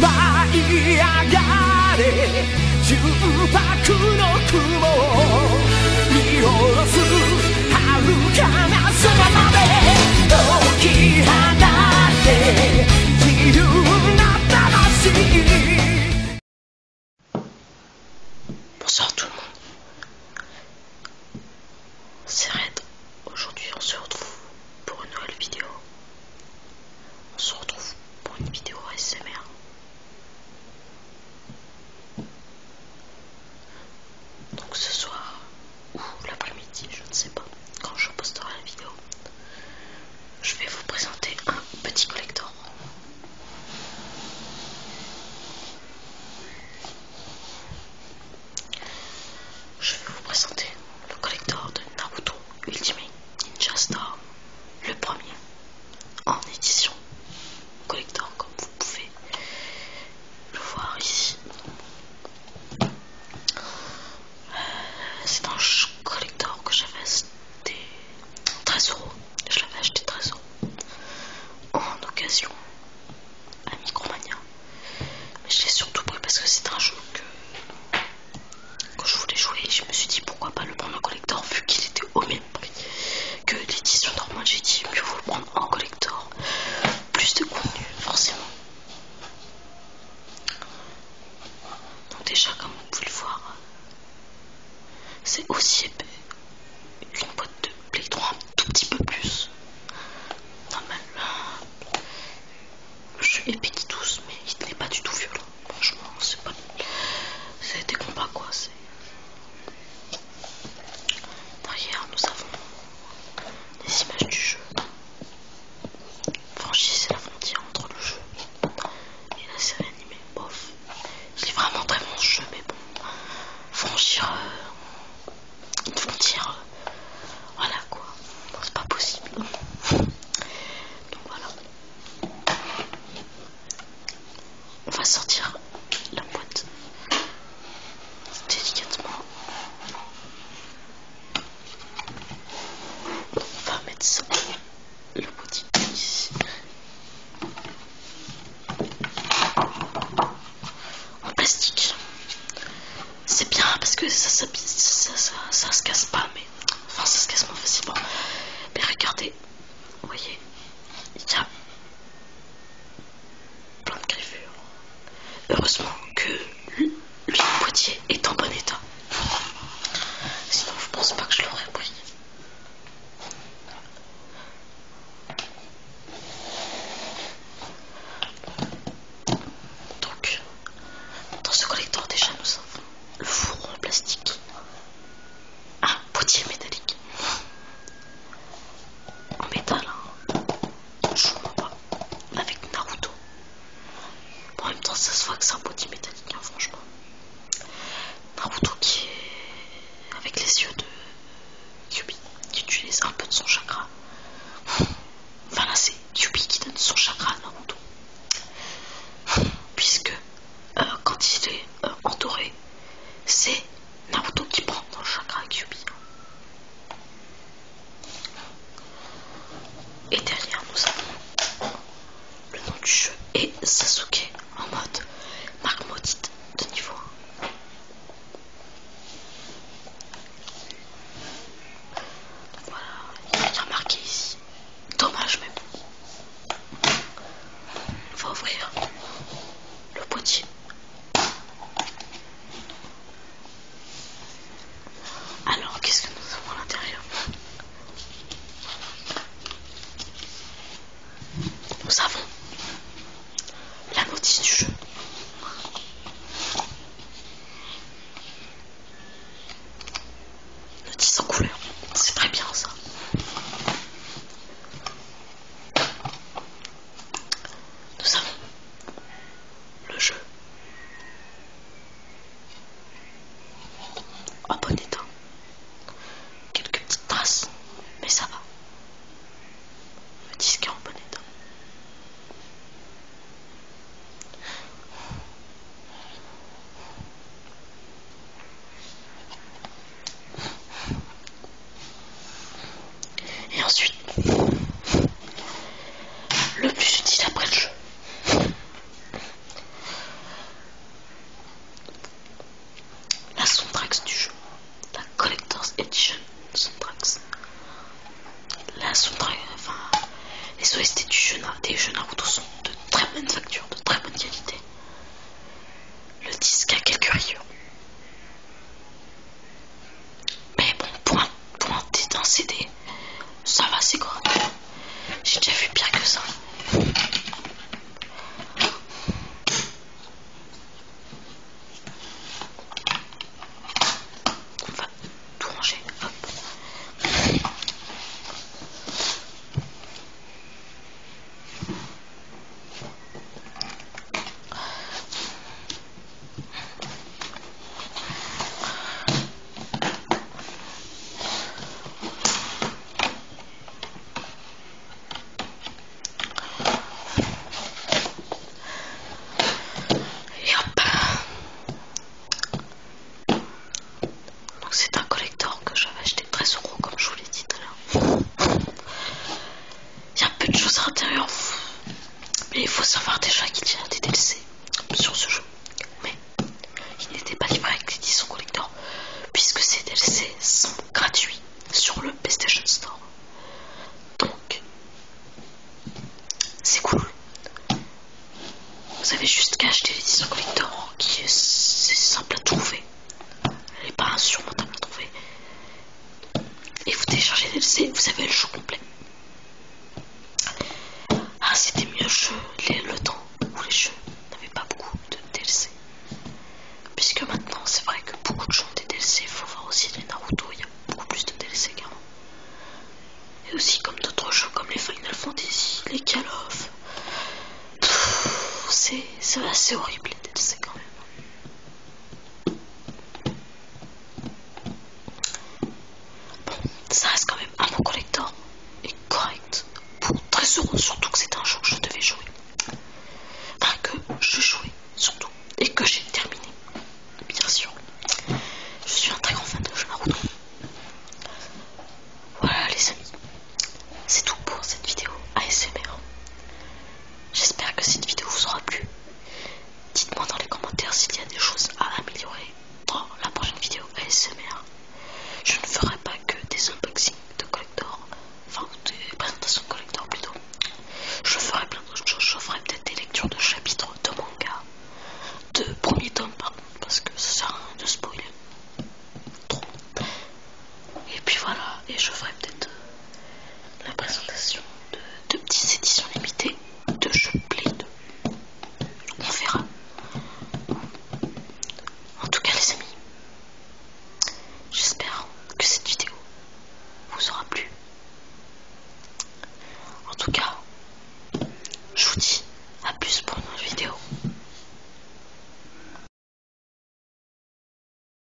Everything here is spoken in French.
舞い上がれ純白の雲見下ろすはるかな空まで解き放って自由な魂 b o n s o i C'est Red. Aujourd'hui, on se retrouve pour une nouvelle vidéo. On se retrouve pour une vidéo SMR. Donc ce soir ou l'après-midi, je ne sais pas, quand je posterai la vidéo, je vais vous présenter un petit collecteur. Je vais vous présenter le collector de Naruto Ultimate Ninja star le premier en édition collector comme vous pouvez le voir ici. Euh, c'est un collector que j'avais acheté 13 Je l'avais acheté 13 euros en occasion à Micromania. Mais je l'ai surtout pris parce que c'est un jeu que quand je voulais jouer, je me suis dit pourquoi pas le prendre en collector vu qu'il était au même prix que l'édition normale. J'ai dit mieux vaut le prendre en collector. Plus de contenu, forcément. Donc déjà comme vous pouvez le voir, c'est aussi épais une boîte de Play un tout petit peu plus. Normal, le jeu est petit tous, mais il n'est pas du tout violent. Franchement, c'est pas. C'est des combats quoi. Derrière, nous avons des images du jeu. Franchissez la frontière entre le jeu et la série animée. Bof. Il est vraiment très bon jeu, mais bon, franchir euh, euh, voilà quoi, c'est pas possible. Donc voilà. On va sortir la boîte délicatement. On va mettre ça, le petit ici en plastique. C'est bien parce que ça, ça, se casse pas, mais enfin ça se casse moins facilement. Mais regardez, vous voyez, il y a plein de griffures. Heureusement que le, le boîtier est en bon état. Sinon, je pense pas que je l'aurais pris. Donc, dans ce collecteur, déjà, nous avons le fourreau en plastique, un potier métallique en métal, hein. je pas, avec Naruto. en même temps, ça se voit que c'est un potier métallique, hein, franchement. Naruto qui est avec les yeux de Kyubi qui utilise un peu de son chakra. Enfin là c'est Kyubi qui donne son chakra à Naruto. Puisque euh, quand il est euh, entouré, c'est Naruto qui prend son chakra à Kyubi. Et derrière nous avons le nom du jeu est Sasuke en mode marque de niveau Voilà, il est bien marqué ici. Dommage, mais On va ouvrir le potier. Alors, qu'est-ce que nous avons à l'intérieur nous avons la notice du jeu. Notice en couleur. C'est très bien ça. Nous avons le jeu. En bon état. Quelques petites traces, mais ça va. Le disque en bon état. Et ensuite, le plus utile après le jeu, la soundtrack du jeu, la Collector's Edition soundtracks. La soundtrack, enfin, les OST du jeu, des jeux Naruto sont de très bonne facture, de très bonne qualité. Le disque a quelques rayures. Mais bon, pointé dans CD, ça va, c'est quoi J'ai déjà vu pire que ça. On va tout ranger. Hop. Donc c'est un collector que j'avais acheté très euros comme je vous l'ai dit tout à l'heure. Il y a un peu de choses à l'intérieur. Mais il faut savoir déjà qu'il y a des DLC sur ce jeu. Mais il n'était pas livré avec l'édition collector, puisque ces DLC sont gratuits sur le PlayStation Store. Donc, c'est cool. Vous avez juste qu'à acheter l'édition collector, qui est, simple à trouver. Elle n'est pas insurmontable à trouver. Et vous téléchargez les DLC, vous avez le jeu complet. Ah, c'était mieux le temps où les jeux n'avaient pas beaucoup de DLC. Puisque maintenant, c'est vrai que beaucoup de gens ont des DLC, il faut voir aussi les Naruto, il y a beaucoup plus de DLC même Et aussi, comme d'autres jeux comme les Final Fantasy, les Call of. C'est assez horrible les DLC quand même. Bon, ça reste quand même un bon collector et correct pour très heureux, surtout que c'est un jeu que je devais jouer. Enfin, que je jouais surtout et que j'ai terminé, bien sûr. Je suis un très grand fan de jeux Naruto. Voilà les amis, c'est tout pour cette vidéo ASMR. J'espère que cette vidéo vous aura plu Dites-moi dans les commentaires s'il y a des choses à améliorer dans la prochaine vidéo ASMR. Je ne ferai pas que des unboxings de collector, enfin des présentations de collector plutôt. Je ferai plein d'autres choses, je ferai peut-être des lectures de chapitres de manga, de premier tome parce que ça sert de spoiler. Trop. Et puis voilà, et je ferai peut-être euh, la présentation de, petites éditions limitées de de On verra. En tout cas les amis, j'espère que cette vidéo vous aura plu. En tout cas, je vous dis à plus pour une autre vidéo.